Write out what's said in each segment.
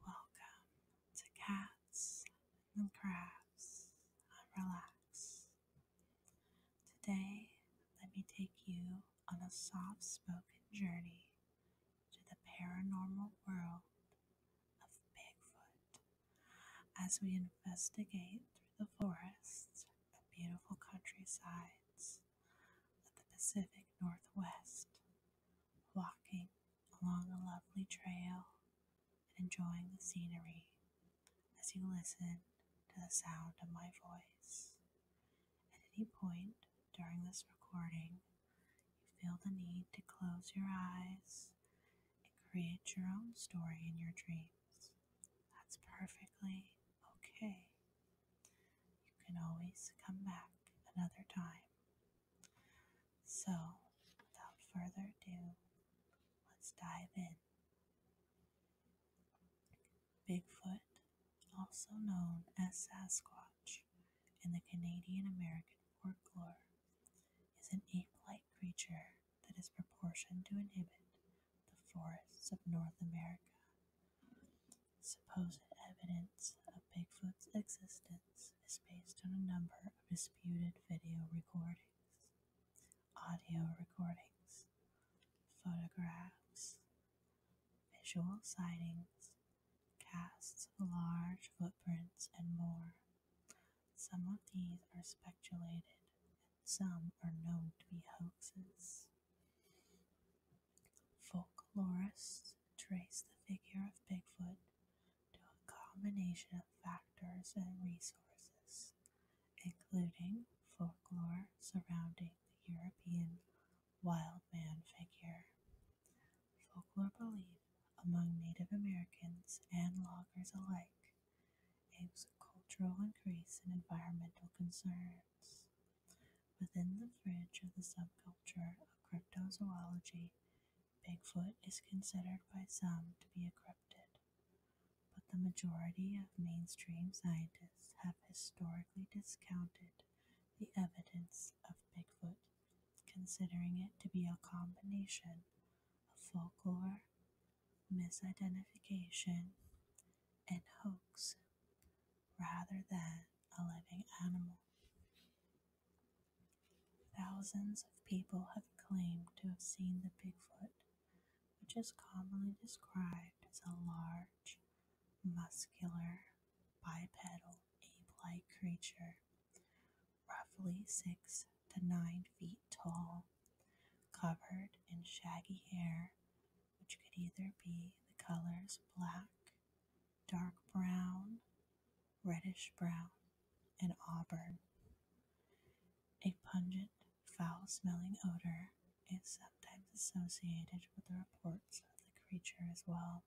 Welcome to Cats and Crabs and Relax. Today, let me take you on a soft spoken journey to the paranormal world of Bigfoot as we investigate through the forests and beautiful countrysides of the Pacific Northwest walking along a lovely trail and enjoying the scenery as you listen to the sound of my voice. At any point during this recording, you feel the need to close your eyes and create your own story in your dreams. That's perfectly okay. You can always come back another time so, without further ado, let's dive in. Bigfoot, also known as Sasquatch in the Canadian American folklore, is an ape like creature that is proportioned to inhabit the forests of North America. Supposed evidence of Bigfoot's existence is based on a number of disputed video recordings, audio recordings, photographs, visual sightings, casts of large footprints, and more. Some of these are speculated, and some are known to be hoaxes. Folklorists trace the figure of Bigfoot to a combination of factors and resources, including folklore surrounding the European wild man figure. Folklore belief among Native Americans and loggers alike aims cultural increase and environmental concerns. Within the fringe of the subculture of cryptozoology, Bigfoot is considered by some to be a cryptid, but the majority of mainstream scientists have historically discounted the evidence of Bigfoot, considering it to be a combination of folklore, misidentification, and hoax rather than a living animal. Thousands of people have claimed to have seen the Bigfoot, which is commonly described as a large, muscular, bipedal ape like creature, roughly six to nine feet tall, covered in shaggy hair, which could either be the colors black, dark brown, reddish brown, and auburn. A pungent, foul smelling odor is sometimes associated with the reports of the creature as well.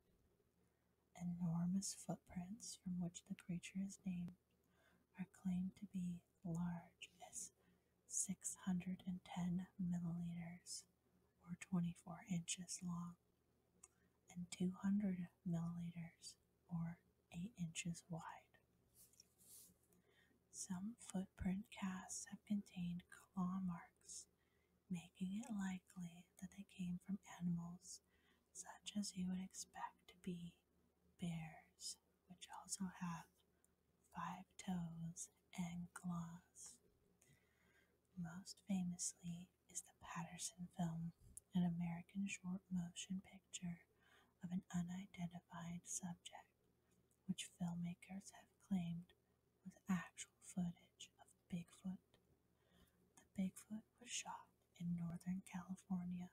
Enormous footprints from which the creature is named are claimed to be large as 610 milliliters or 24 inches long, and 200 milliliters or 8 inches wide. Some footprint casts have contained claw marks, making it likely that they came from animals such as you would expect to be bears, which also have five toes and claws. Most famously, is the Patterson film, an American short motion picture of an unidentified subject, which filmmakers have claimed was actual footage of Bigfoot. The Bigfoot was shot in Northern California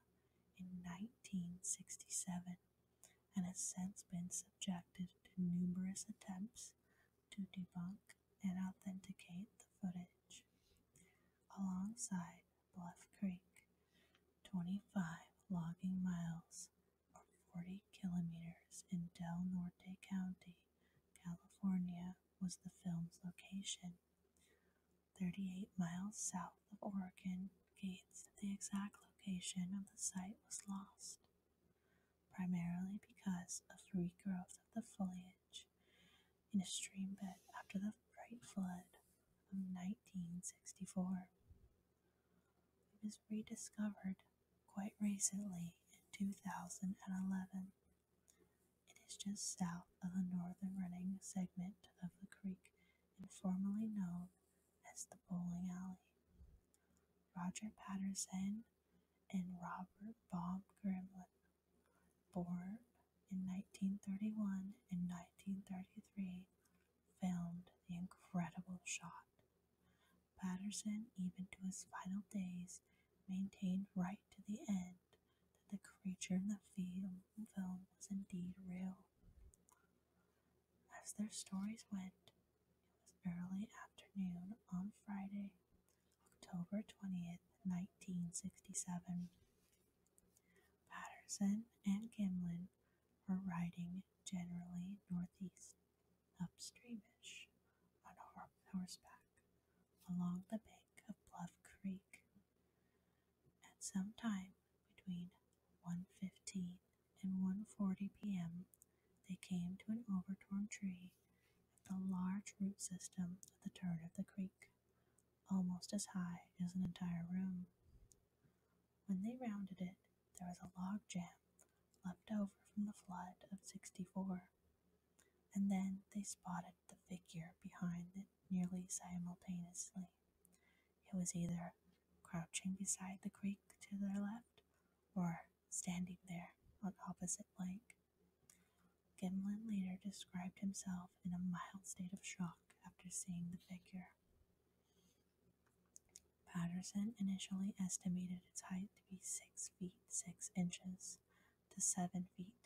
in 1967 and has since been subjected to numerous attempts to debunk and authenticate the footage. Alongside Bluff Creek, 25 logging miles or 40 kilometers in Del Norte County, California, was the film's location. 38 miles south of Oregon Gates, the exact location of the site was lost primarily because of the regrowth of the foliage in a stream bed after the Great Flood of 1964. It was rediscovered quite recently in 2011. It is just south of the northern running segment of the creek informally known as the Bowling Alley. Roger Patterson and Robert Baum Grimlin, born in 1931 and 1933, filmed the incredible shot. Patterson, even to his final days, maintained right to the end that the creature in the film was indeed real. As their stories went, it was early afternoon on Friday, October 20th, 1967. Patterson and Gimlin were riding generally northeast, upstreamish, on horseback along the bank of Bluff Creek. At some time between 1.15 and 1.40 p.m., they came to an overtorn tree at the large root system at the turn of the creek, almost as high as an entire room. When they rounded it, there was a log jam left over from the flood of 64. And then they spotted the figure behind it nearly simultaneously. It was either crouching beside the creek to their left or standing there on opposite Blank. Gimlin later described himself in a mild state of shock after seeing the figure. Patterson initially estimated its height to be 6 feet 6 inches to 7 feet,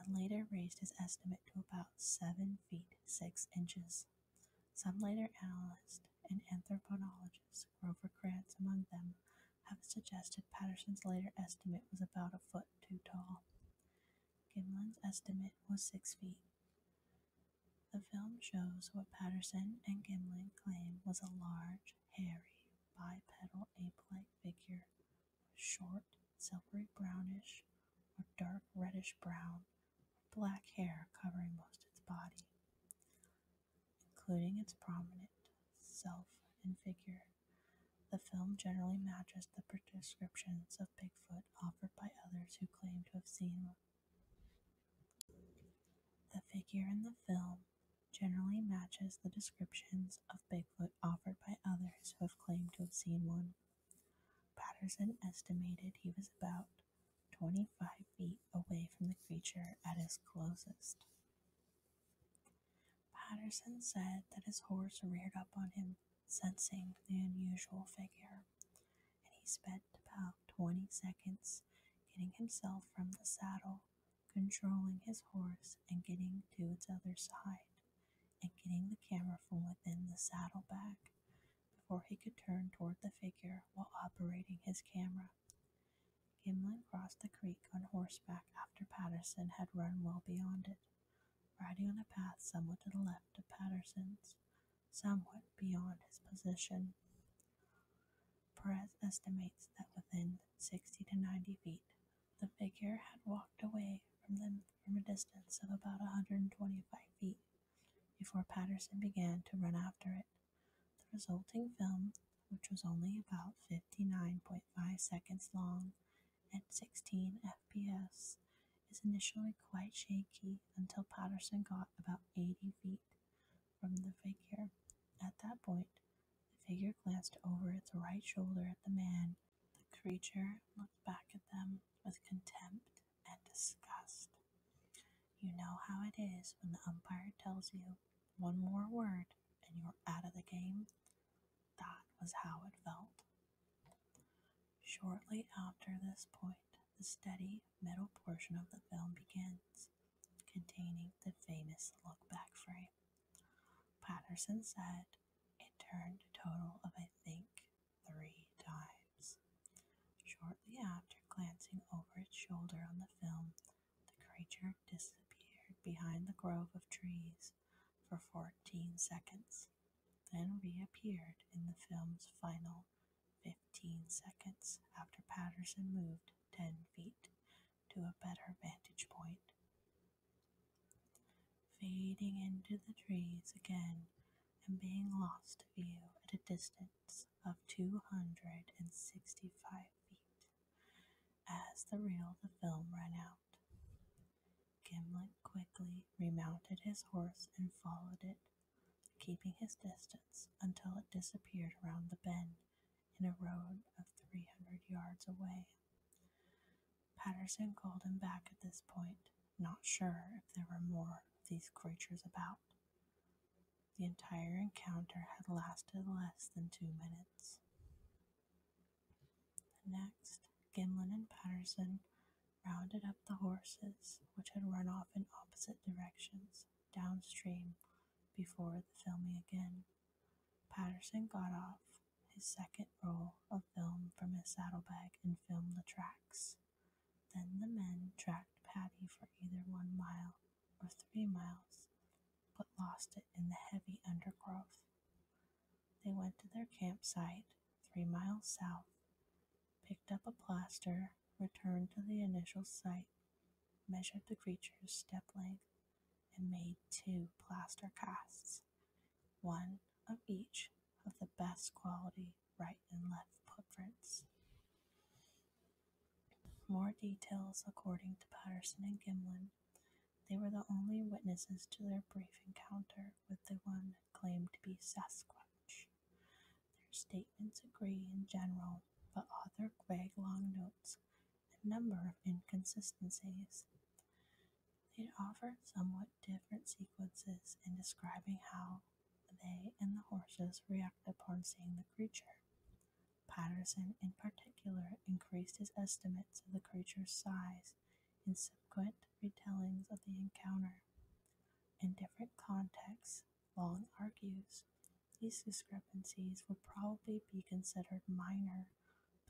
and later raised his estimate to about 7 feet 6 inches. Some later analysts and anthropologists, Grover Krantz among them, have suggested Patterson's later estimate was about a foot too tall. Gimlin's estimate was six feet. The film shows what Patterson and Gimlin claim was a large, hairy, bipedal ape like figure with short, silvery brownish or dark reddish brown or black hair covering most of its body including its prominent self and figure. The film generally matches the descriptions of Bigfoot offered by others who claim to have seen one. The figure in the film generally matches the descriptions of Bigfoot offered by others who have claimed to have seen one. Patterson estimated he was about 25 feet away from the creature at his closest. Patterson said that his horse reared up on him, sensing the unusual figure, and he spent about twenty seconds getting himself from the saddle, controlling his horse, and getting to its other side, and getting the camera from within the saddlebag before he could turn toward the figure while operating his camera. Gimlin crossed the creek on horseback after Patterson had run well beyond it, riding on a path somewhat to the left of Patterson's, somewhat beyond his position. Perez estimates that within 60 to 90 feet, the figure had walked away from them from a distance of about 125 feet before Patterson began to run after it. The resulting film, which was only about 59.5 seconds long at 16 FPS, is initially quite shaky until Patterson got about 80 feet from the figure. At that point, the figure glanced over its right shoulder at the man. The creature looked back at them with contempt and disgust. You know how it is when the umpire tells you one more word and you're out of the game. That was how it felt. Shortly after this point, the steady middle portion of the film begins, containing the famous look back frame. Patterson said it turned a total of, I think, three times. Shortly after glancing over its shoulder on the film, the creature disappeared behind the grove of trees for 14 seconds, then reappeared in the film's final 15 seconds after Patterson moved 10 feet to a better vantage point. Fading into the trees again and being lost to view at a distance of 265 feet. As the reel of the film ran out, Gimblet quickly remounted his horse and followed it, keeping his distance until it disappeared around the bend in a road of 300 yards away. Patterson called him back at this point, not sure if there were more of these creatures about. The entire encounter had lasted less than two minutes. The next, Gimlin and Patterson rounded up the horses, which had run off in opposite directions downstream before filming again. Patterson got off his second roll of film from his saddlebag and filmed the tracks. Then the men tracked Patty for either one mile or three miles, but lost it in the heavy undergrowth. They went to their campsite, three miles south, picked up a plaster, returned to the initial site, measured the creature's step length, and made two plaster casts, one of each of the best quality right and left footprints. More details according to Patterson and Gimlin, they were the only witnesses to their brief encounter with the one claimed to be Sasquatch. Their statements agree in general, but author Greg Long notes a number of inconsistencies. They offered somewhat different sequences in describing how they and the horses reacted upon seeing the creature. Patterson in particular increased his estimates of the creature's size in subsequent retellings of the encounter. In different contexts, Long argues these discrepancies would probably be considered minor,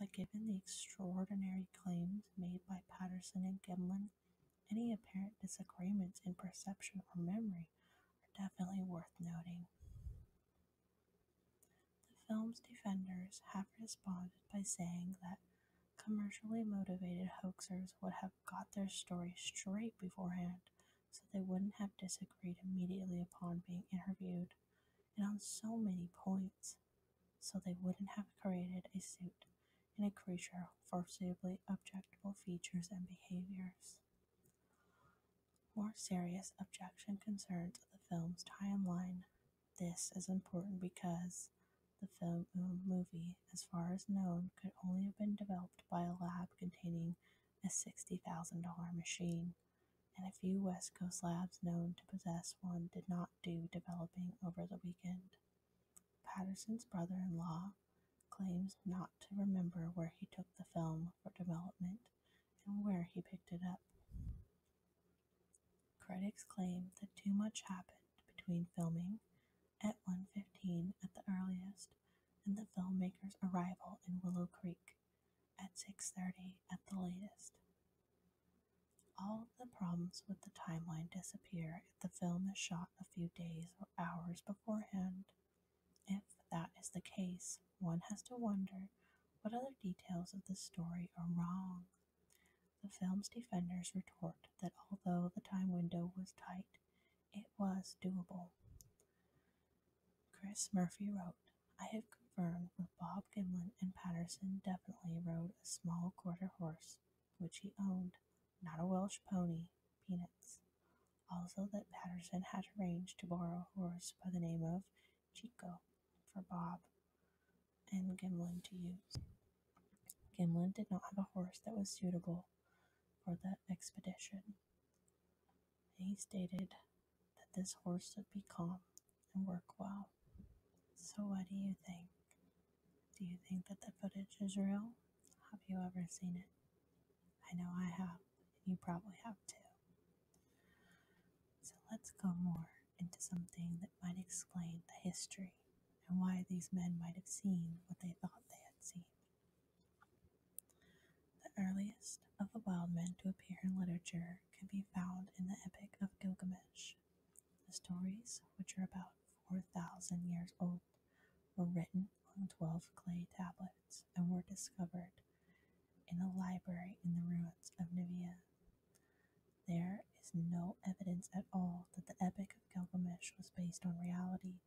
but given the extraordinary claims made by Patterson and Gimlin, any apparent disagreements in perception or memory are definitely worth noting. The film's defenders have responded by saying that commercially motivated hoaxers would have got their story straight beforehand so they wouldn't have disagreed immediately upon being interviewed and on so many points so they wouldn't have created a suit in a creature for suitably objectable features and behaviors. More serious objection concerns the film's timeline. This is important because the film uh, movie, as far as known, could only have been developed by a lab containing a $60,000 machine, and a few West Coast labs known to possess one did not do developing over the weekend. Patterson's brother in law claims not to remember where he took the film for development and where he picked it up. Critics claim that too much happened between filming at 1:15 at the earliest and the filmmaker's arrival in Willow Creek at 6:30 at the latest. All of the problems with the timeline disappear if the film is shot a few days or hours beforehand if that is the case, one has to wonder what other details of the story are wrong. The film's defenders retort that although the time window was tight, it was doable. Chris Murphy wrote, I have confirmed that Bob Gimlin and Patterson definitely rode a small quarter horse, which he owned, not a Welsh pony, peanuts. Also, that Patterson had arranged to borrow a horse by the name of Chico for Bob and Gimlin to use. Gimlin did not have a horse that was suitable for the expedition. He stated that this horse would be calm and work well. So, what do you think? Do you think that the footage is real? Have you ever seen it? I know I have. You probably have to. So let's go more into something that might explain the history and why these men might have seen what they thought they had seen. The earliest of the wild men to appear in literature can be found in the Epic of Gilgamesh. The stories, which are about 4,000 years old, were written on 12 clay tablets and were discovered in a library in the ruins of Nivea. There is no evidence at all that the Epic of Gilgamesh was based on reality,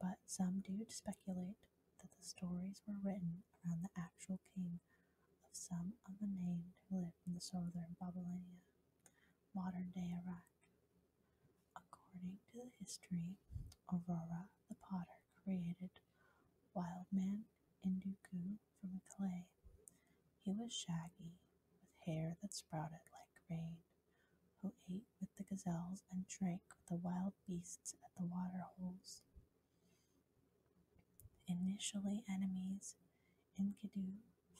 but some do speculate that the stories were written around the actual king of some of the named who lived in the southern Babylonia, modern day Iraq. According to the history, Aurora the Potter created Wildman Induku from clay. He was shaggy, with hair that sprouted like rain, who ate with the gazelles and drank with the wild beasts at the water holes. Initially enemies, Enkidu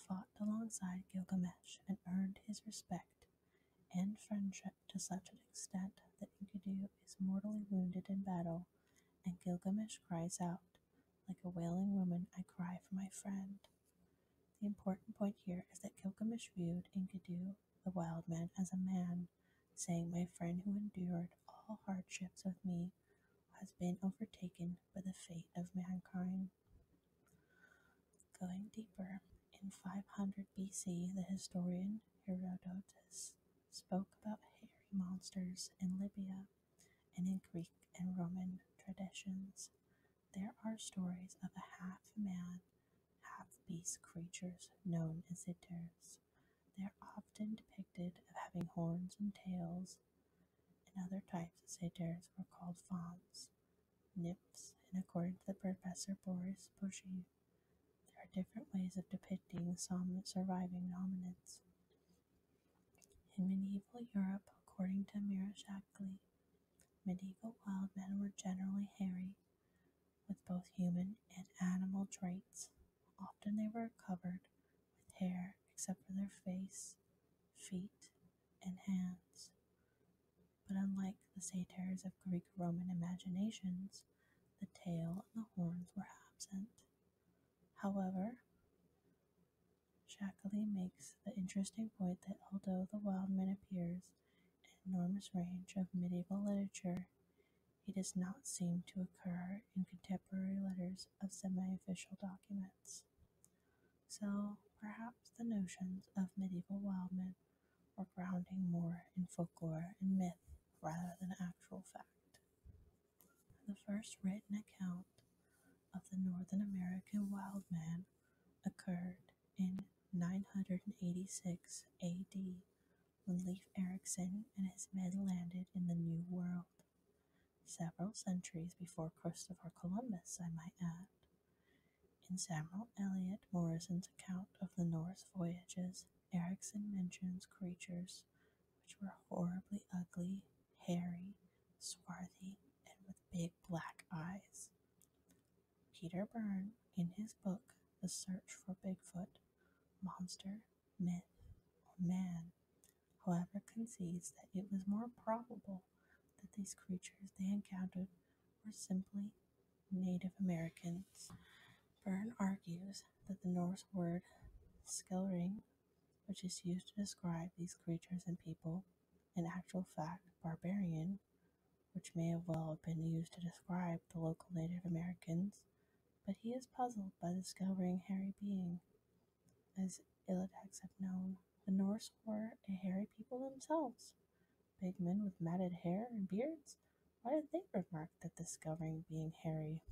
fought alongside Gilgamesh and earned his respect and friendship to such an extent that Enkidu is mortally wounded in battle, and Gilgamesh cries out, Like a wailing woman, I cry for my friend. The important point here is that Gilgamesh viewed Enkidu, the wild man, as a man, saying, My friend who endured all hardships with me has been overtaken by the fate of mankind. Going deeper, in 500 BC, the historian Herodotus spoke about hairy monsters in Libya and in Greek and Roman traditions. There are stories of half man, half beast creatures known as Itirs. They are often depicted as having horns and tails. In other types, satyrs were called fauns, nymphs, and according to the professor Boris Bushy, there are different ways of depicting some surviving hominids. In medieval Europe, according to Mira Shackley, medieval wild men were generally hairy, with both human and animal traits. Often they were covered with hair except for their face, feet, and hands but unlike the satyrs of Greek Roman imaginations, the tail and the horns were absent. However, Shackley makes the interesting point that although the wild man appears in enormous range of medieval literature, he does not seem to occur in contemporary letters of semi official documents. So perhaps the notions of medieval wildmen or grounding more in folklore and myth rather than actual fact. The first written account of the Northern American wild man occurred in 986 AD when Leif Erikson and his men landed in the New World. Several centuries before Christopher Columbus, I might add, in Samuel Eliot Morrison's account of the Norse voyages, Ericsson mentions creatures which were horribly ugly, hairy, swarthy, and with big black eyes. Peter Byrne, in his book The Search for Bigfoot, Monster, Myth, or Man, however, concedes that it was more probable that these creatures they encountered were simply Native Americans. Byrne argues that the Norse word Skelring, which is used to describe these creatures and people, in actual fact barbarian, which may have well have been used to describe the local Native Americans, but he is puzzled by the Skelring hairy being. As Ilatex have known, the Norse were a hairy people themselves, Big men with matted hair and beards? Why did they remark that discovering being hairy?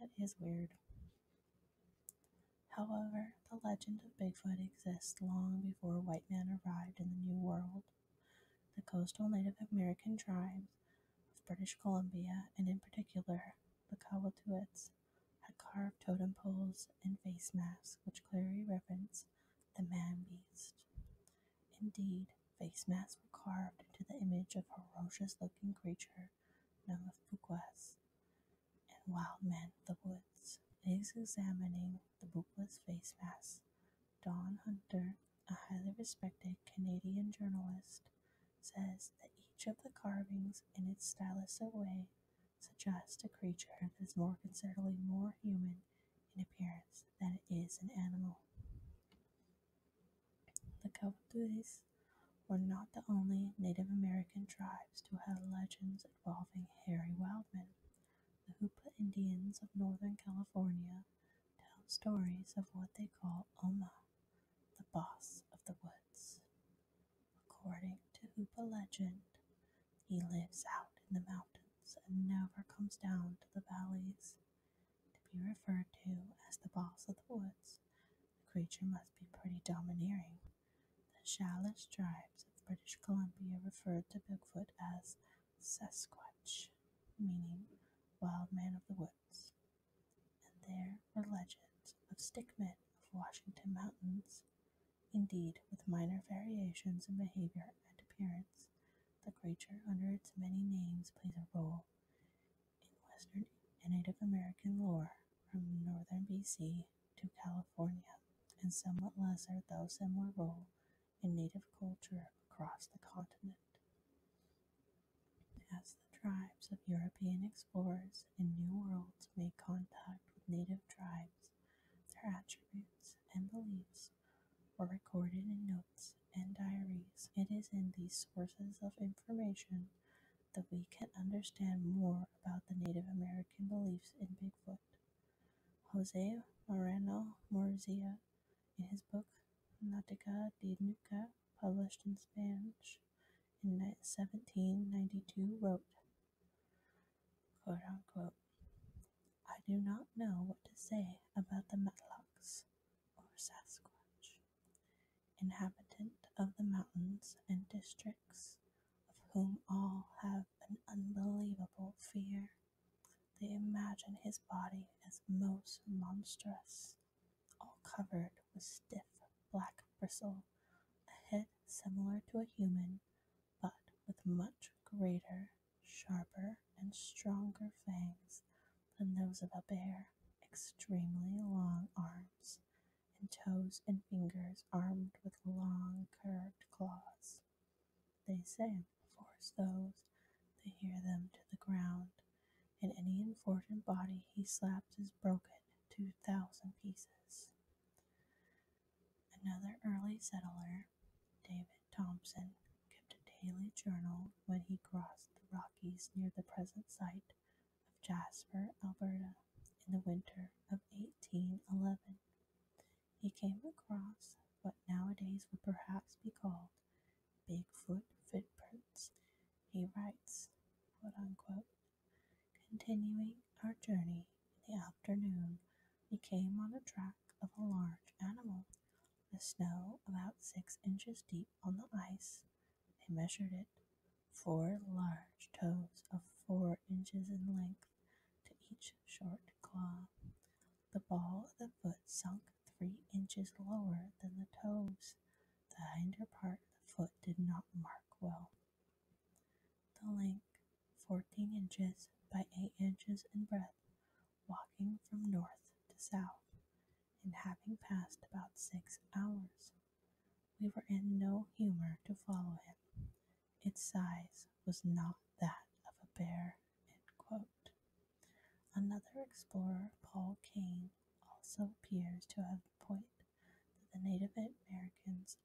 That is weird. However, the legend of Bigfoot exists long before white man arrived in the New World. The coastal Native American tribes of British Columbia, and in particular the Kowaltuits, had carved totem poles and face masks which clearly reference the man beast. Indeed, face masks were carved into the image of ferocious looking creature known as Bukwas and Wild men. of the Woods. In examining the Bukwas face mask, Don Hunter, a highly respected Canadian journalist, says that each of the carvings in its stylistic way suggests a creature that is more considerably more human in appearance that it is an animal. The Cowboys were not the only Native American tribes to have legends involving hairy wildmen. The Hoopa Indians of Northern California tell stories of what they call Oma, the boss of the woods. According to Hoopa legend, he lives out in the mountains and never comes down to the valleys. To be referred to as the boss of the woods, the creature must be pretty domineering. The Salish tribes of British Columbia referred to Bigfoot as Sasquatch, meaning wild man of the woods. And there were legends of stickmen of Washington mountains, indeed with minor variations in behavior and appearance. The creature, under its many names, plays a role in Western and Native American lore from northern BC to California, and somewhat lesser, though similar, role in Native culture across the continent. As the tribes of European explorers in New Worlds made contact with Native tribes, their attributes and beliefs were recorded in notes and diaries. It is in these sources of information that we can understand more about the Native American beliefs in Bigfoot. Jose Moreno Morzia, in his book Nautica de Nuca, published in Spanish in 1792, wrote, quote unquote, I do not know what to say about the Matlocks, or Sasquatch, inhabitant of the mountains and districts, of whom all have an unbelievable fear. They imagine his body as most monstrous, all covered with stiff black bristle, a head similar to a human, but with much greater, sharper, and stronger fangs than those of a bear, extremely long arms, and toes and fingers armed with long curved claws. They say, force those that hear them to the ground, and any important body he slaps is broken to thousand pieces. Another early settler David Thompson, kept a daily journal when he crossed the Rockies near the present site of Jasper, Alberta, in the winter of 1811. He came across what nowadays would perhaps be called Bigfoot footprints. He writes, continuing our journey in the afternoon, we came on the track of a large animal the snow, about six inches deep on the ice, they measured it. Four large toes of four inches in length to each short claw. The ball of the foot sunk three inches lower than the toes. The hinder part of the foot did not mark well. The length. 14 inches by 8 inches in breadth, walking from north to south, and having passed about six hours. We were in no humor to follow him. Its size was not that of a bear. Another explorer, Paul Kane, also appears to have pointed that the Native Americans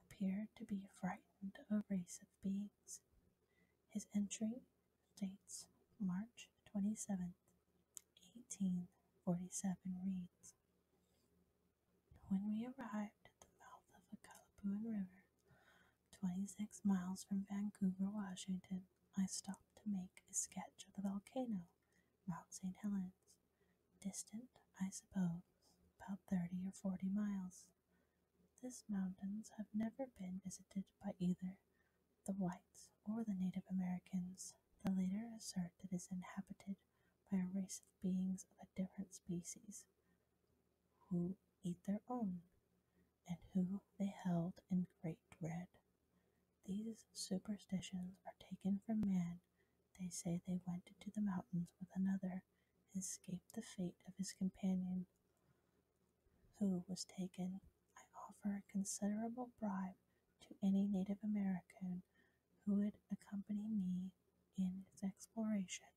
appeared to be frightened of races of His entry dates March 27, 1847 reads, When we arrived at the mouth of the Kalapuan River, 26 miles from Vancouver, Washington, I stopped to make a sketch of the volcano, Mount St. Helens, distant, I suppose, about 30 or 40 miles. These mountains have never been visited by either the whites or the Native Americans. The later assert that it is inhabited by a race of beings of a different species who eat their own and who they held in great dread. These superstitions are taken from man. They say they went into the mountains with another and escaped the fate of his companion who was taken, I offer a considerable bribe to any Native American who would accompany me in its exploration,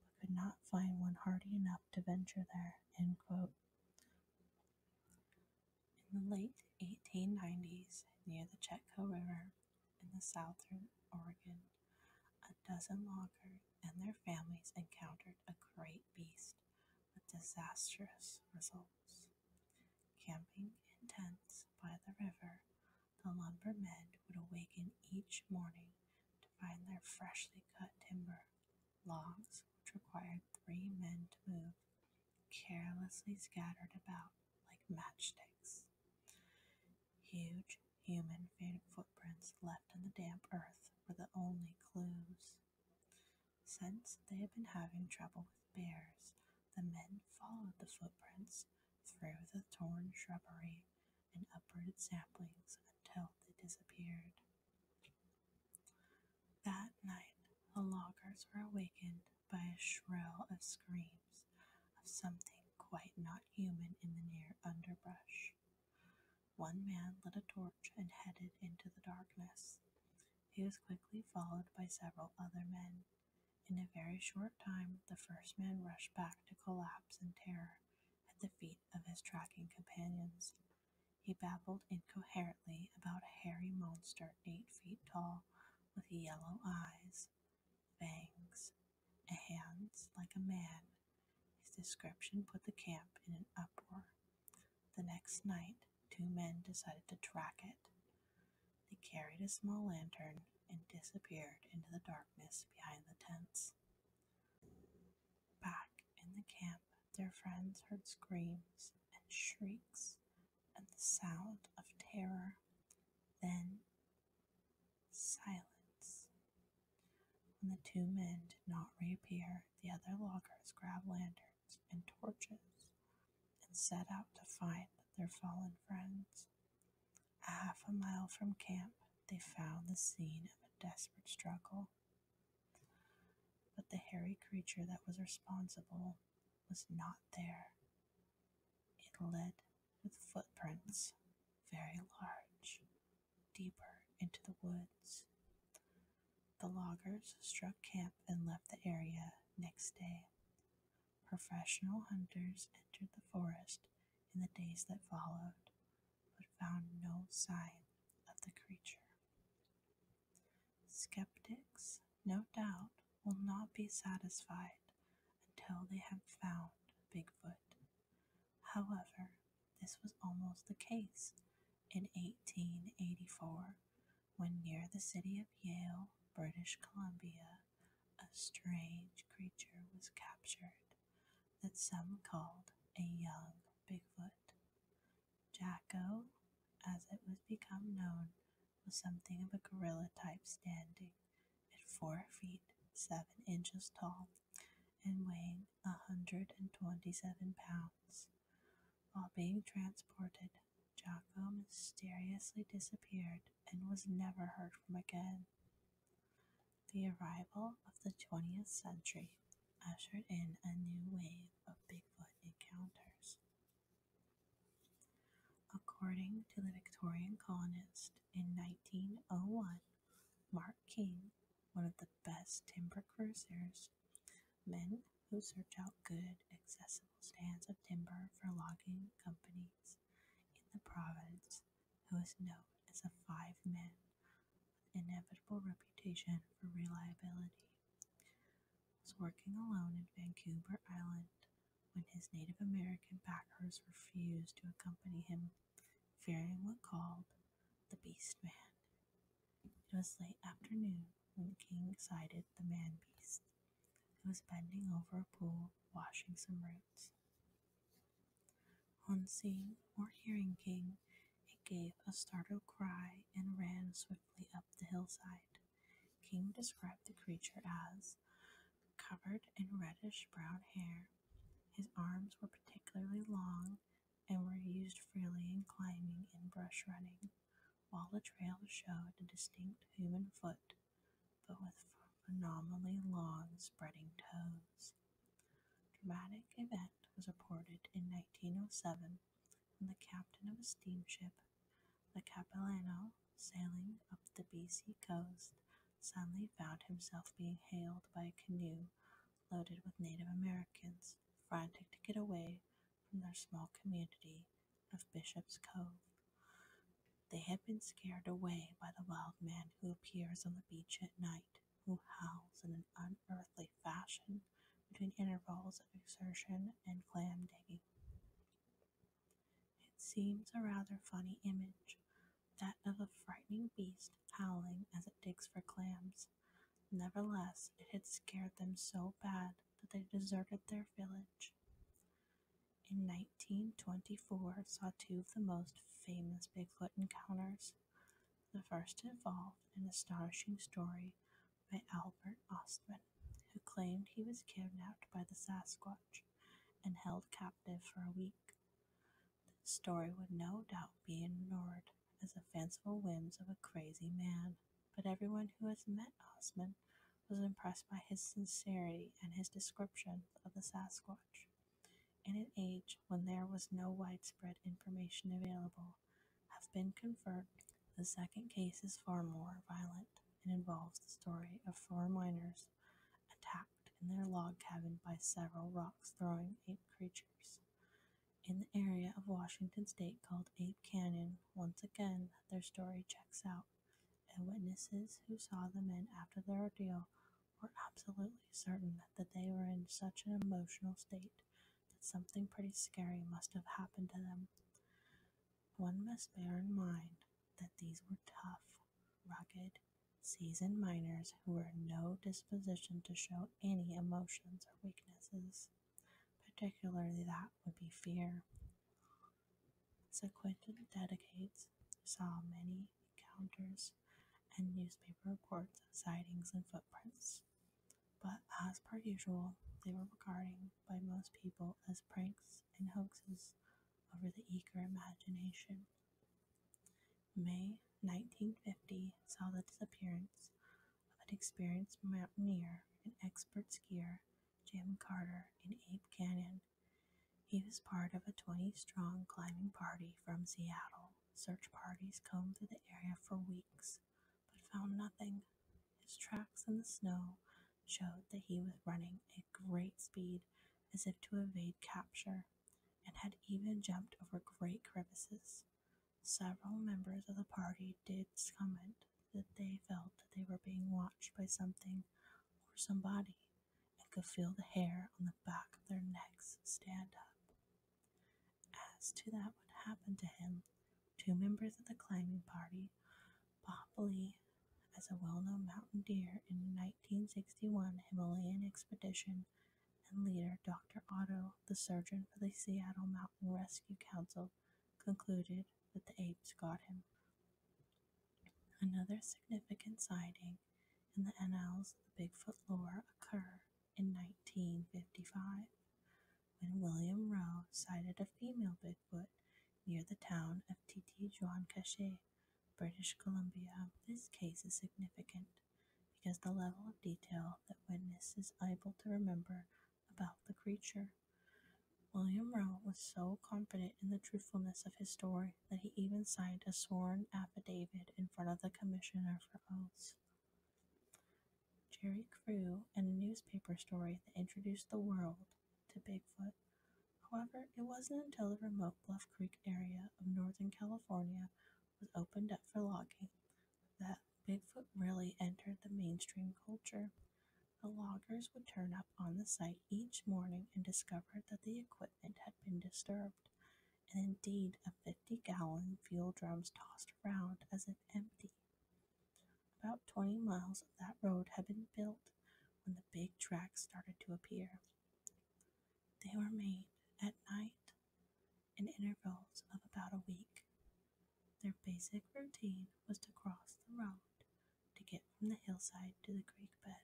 but could not find one hardy enough to venture there. In the late 1890s, near the Chetco River in the southern Oregon, a dozen Loggers and their families encountered a great beast with disastrous results. Camping in tents by the river, the lumbermen would awaken each morning to find their freshly cut timber, logs which required three men to move, carelessly scattered about like matchsticks. Huge Human footprints left in the damp earth were the only clues. Since they had been having trouble with bears, the men followed the footprints through the torn shrubbery and uprooted saplings until they disappeared. That night, the loggers were awakened by a shrill of screams of something quite not human in the near underbrush. One man lit a torch and headed into the darkness. He was quickly followed by several other men. In a very short time, the first man rushed back to collapse in terror at the feet of his tracking companions. He babbled incoherently about a hairy monster eight feet tall with yellow eyes, fangs, hands like a man. His description put the camp in an uproar. The next night, two men decided to track it. They carried a small lantern and disappeared into the darkness behind the tents. Back in the camp, their friends heard screams and shrieks and the sound of terror. Then Silence. When the two men did not reappear, the other loggers grabbed lanterns and torches and set out to find their fallen friends. A half a mile from camp, they found the scene of a desperate struggle. But the hairy creature that was responsible was not there. It led with footprints, very large, deeper into the woods. The loggers struck camp and left the area next day. Professional hunters entered the forest in the days that followed, but found no sign of the creature. Skeptics, no doubt, will not be satisfied until they have found Bigfoot. However, this was almost the case in 1884 when near the city of Yale, British Columbia, a strange creature was captured that some called a young Bigfoot. Jacko, as it was become known, was something of a gorilla type standing at four feet seven inches tall and weighing 127 pounds. While being transported, Jocko mysteriously disappeared and was never heard from again. The arrival of the 20th century ushered in a new wave of Bigfoot encounters. According to the Victorian colonist in 1901, Mark King, one of the best timber cruisers, men who search out good, accessible stands of timber for logging companies in the province, who is known as a five man with inevitable reputation for reliability, was working alone in Vancouver Island when his Native American packers refused to accompany him fearing what called the Beast Man. It was late afternoon when the king sighted the man beast, who was bending over a pool washing some roots. On seeing or hearing King, it gave a startled cry and ran swiftly up the hillside. King described the creature as covered in reddish brown hair his arms were particularly long and were used freely in climbing and brush running, while the trail showed a distinct human foot, but with phenomenally long, spreading toes. Dramatic event was reported in 1907 when the captain of a steamship, the Capilano, sailing up the BC coast, suddenly found himself being hailed by a canoe loaded with Native Americans frantic to get away from their small community of Bishop's Cove. They had been scared away by the wild man who appears on the beach at night, who howls in an unearthly fashion between intervals of exertion and clam digging. It seems a rather funny image, that of a frightening beast howling as it digs for clams. Nevertheless, it had scared them so bad that they deserted their village. In 1924 saw two of the most famous Bigfoot encounters. The first involved an astonishing story by Albert Ostman, who claimed he was kidnapped by the Sasquatch and held captive for a week this story would no doubt be ignored as the fanciful whims of a crazy man. But everyone who has met Osman was impressed by his sincerity and his description of the Sasquatch. In an age when there was no widespread information available, have been confirmed. The second case is far more violent and involves the story of four miners attacked in their log cabin by several rocks throwing ape creatures. In the area of Washington state called Ape Canyon, once again their story checks out, and witnesses who saw the men after their ordeal were absolutely certain that they were in such an emotional state that something pretty scary must have happened to them. One must bear in mind that these were tough, rugged, seasoned miners who were in no disposition to show any emotions or weaknesses, particularly that would be fear. So Quentin dedicates saw many encounters and newspaper reports of sightings and footprints, but as per usual, they were regarded by most people as pranks and hoaxes over the eager imagination. May 1950 saw the disappearance of an experienced mountaineer and expert skier, Jim Carter, in Ape Canyon. He was part of a 20 strong climbing party from Seattle. Search parties combed through the area for weeks but found nothing. His tracks in the snow showed that he was running at great speed as if to evade capture and had even jumped over great crevices. Several members of the party did comment that they felt that they were being watched by something or somebody and could feel the hair on the back of their necks stand up. As to that what happened to him, two members of the climbing party, Bob Lee, as a well known mountaineer in 1961 Himalayan expedition and leader Dr. Otto, the surgeon for the Seattle Mountain Rescue Council, concluded that the apes got him. Another significant sighting in the annals of the Bigfoot lore occurred in 1955 when William Rowe sighted a female Bigfoot near the town of Titi Juan Cache British Columbia, this case is significant because the level of detail that witnesses is able to remember about the creature. William Rowe was so confident in the truthfulness of his story that he even signed a sworn affidavit in front of the commissioner for oaths. Jerry Crew and a newspaper story that introduced the world to Bigfoot However, it wasn't until the remote Bluff Creek area of Northern California was opened up for logging that Bigfoot really entered the mainstream culture. The loggers would turn up on the site each morning and discover that the equipment had been disturbed, and indeed a 50 gallon fuel drum was tossed around as if empty. About 20 miles of that road had been built when the big tracks started to appear. They were made at night in intervals of about a week. Their basic routine was to cross the road to get from the hillside to the creek bed,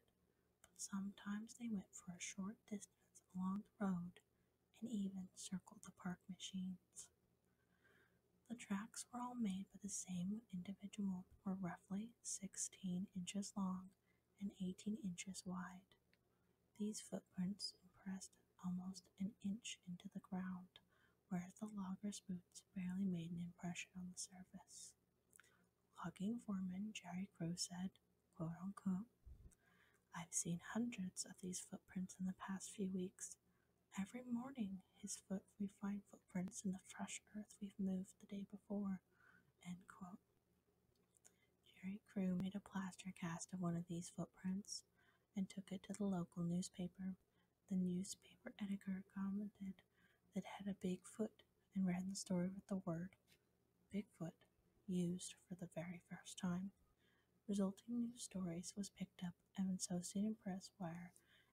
but sometimes they went for a short distance along the road and even circled the park machines. The tracks were all made by the same individual, were roughly 16 inches long and 18 inches wide. These footprints impressed almost an inch into the ground, whereas the logger's boots barely made an impression on the surface. Logging foreman Jerry Crow said, quote unquote, I've seen hundreds of these footprints in the past few weeks. Every morning, his foot we find footprints in the fresh earth we've moved the day before. End quote. Jerry Crew made a plaster cast of one of these footprints and took it to the local newspaper. The newspaper editor commented that it had a big foot and ran the story with the word Bigfoot used for the very first time. Resulting news stories was picked up and Associated Press Wire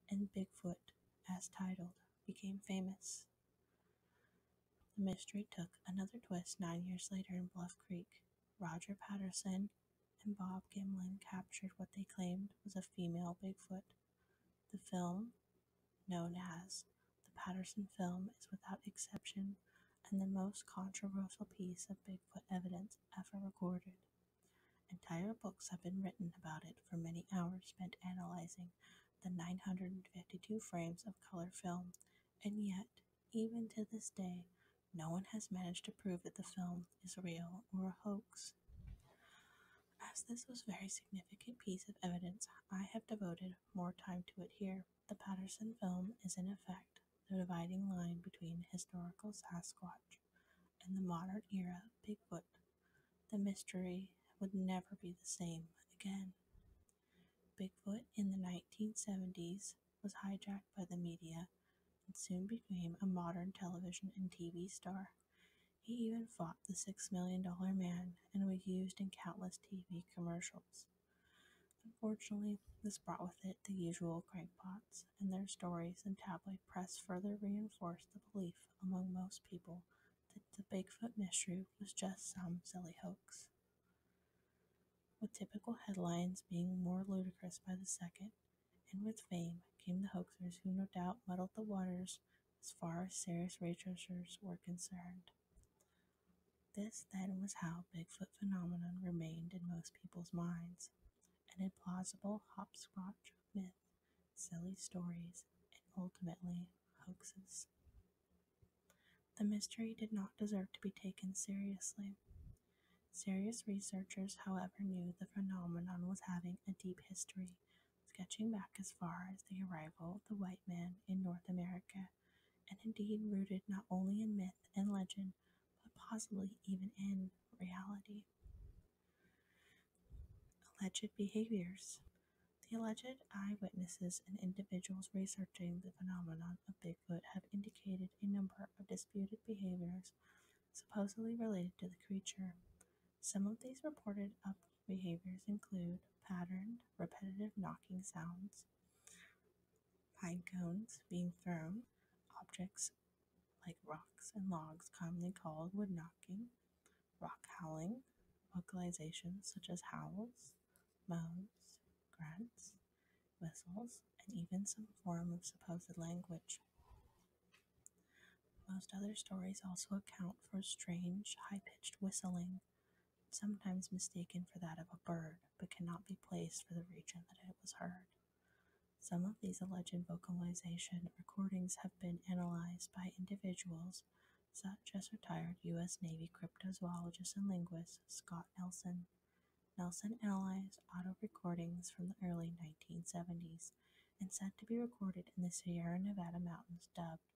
and Bigfoot, as titled, became famous. The mystery took another twist nine years later in Bluff Creek. Roger Patterson and Bob Gimlin captured what they claimed was a female Bigfoot. The film, known as the Patterson film, is without exception and the most controversial piece of Bigfoot evidence ever recorded. Entire books have been written about it for many hours spent analyzing the 952 frames of color film, and yet, even to this day, no one has managed to prove that the film is real or a hoax. As this was a very significant piece of evidence, I have devoted more time to it here. The Patterson film is, in effect, the dividing line between historical Sasquatch and the modern era Bigfoot. The mystery would never be the same again. Bigfoot in the 1970s was hijacked by the media and soon became a modern television and TV star. He even fought the $6 million man and was used in countless TV commercials. Unfortunately, this brought with it the usual crankpots, and their stories and tabloid press further reinforced the belief among most people that the Bigfoot mystery was just some silly hoax. With typical headlines being more ludicrous by the second, and with fame came the hoaxers who no doubt muddled the waters as far as serious researchers were concerned. This then was how Bigfoot phenomenon remained in most people's minds, an implausible hopscotch of myth, silly stories, and ultimately hoaxes. The mystery did not deserve to be taken seriously. Serious researchers, however, knew the phenomenon was having a deep history, sketching back as far as the arrival of the white man in North America, and indeed rooted not only in myth and legend, but possibly even in reality. Alleged behaviors. The alleged eyewitnesses and individuals researching the phenomenon of Bigfoot have indicated a number of disputed behaviors supposedly related to the creature. Some of these reported up behaviors include patterned, repetitive knocking sounds, pine cones being thrown, objects like rocks and logs, commonly called wood knocking, rock howling, vocalizations such as howls, moans, grunts, whistles, and even some form of supposed language. Most other stories also account for strange, high pitched whistling, sometimes mistaken for that of a bird, but cannot be placed for the region that it was heard. Some of these alleged vocalization recordings have been analyzed by individuals such as retired U.S. Navy cryptozoologist and linguist Scott Nelson. Nelson analyzed audio recordings from the early 1970s and said to be recorded in the Sierra Nevada mountains dubbed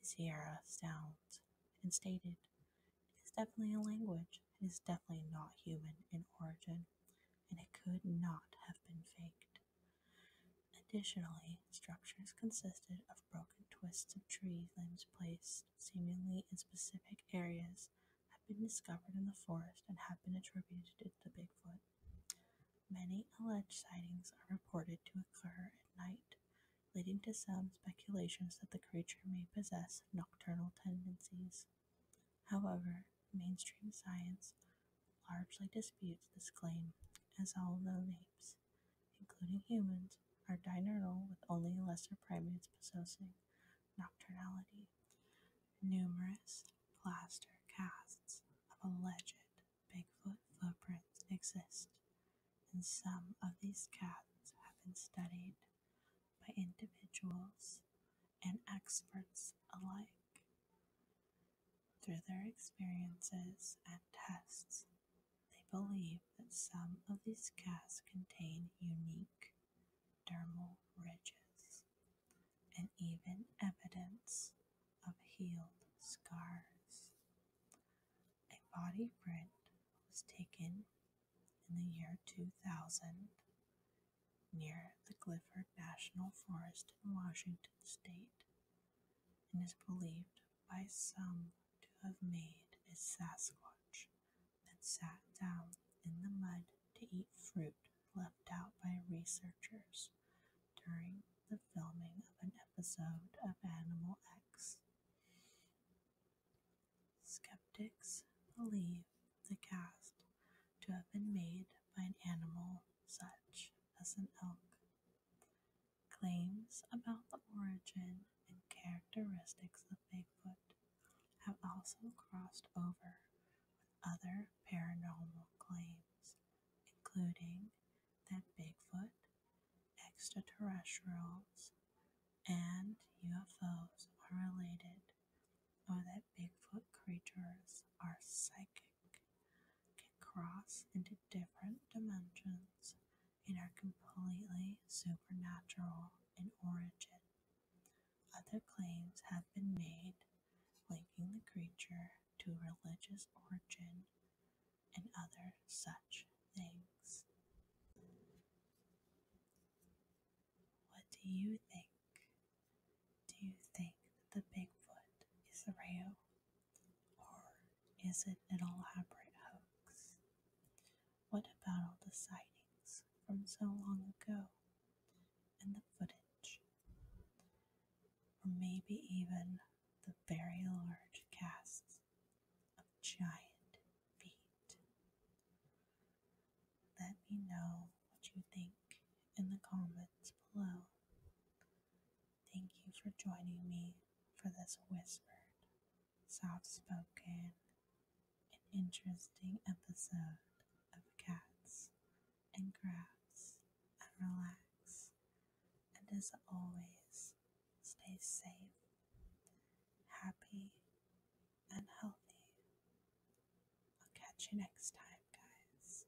the Sierra Sounds, and stated, It is definitely a language, it is definitely not human in origin, and it could not have been faked. Additionally, structures consisted of broken twists of tree limbs placed seemingly in specific areas have been discovered in the forest and have been attributed to Bigfoot. Many alleged sightings are reported to occur at night, leading to some speculations that the creature may possess nocturnal tendencies. However, mainstream science largely disputes this claim, as all known apes including humans, are diurnal with only lesser primates possessing nocturnality. Numerous plaster casts of alleged Bigfoot footprints exist, and some of these casts have been studied by individuals and experts alike. Through their experiences and tests, they believe that some of these casts contain unique dermal ridges and even evidence of healed scars. A body print was taken in the year 2000 near the Clifford National Forest in Washington state and is believed by some to have made a Sasquatch that sat down in the mud to eat fruit left out by researchers during the filming of an episode of Animal X. Skeptics believe the cast to have been made by an animal such as an elk. Claims about the origin and characteristics of Bigfoot have also crossed over with other paranormal claims, including that Bigfoot, extraterrestrials, and UFOs are related, or that Bigfoot creatures are psychic can cross into different dimensions and are completely supernatural in origin. Other claims have been made linking the creature to religious origin and other such things. What do you think? Do you think the Bigfoot is real? Or is it an elaborate hoax? What about all the sightings from so long ago and the footage? Or maybe even the very large casts of giant feet? Let me know what you think in the comments below. Thank you for joining me for this whispered, soft spoken, and interesting episode of Cats and Crafts and Relax. And as always, stay safe, happy, and healthy. I'll catch you next time. guys.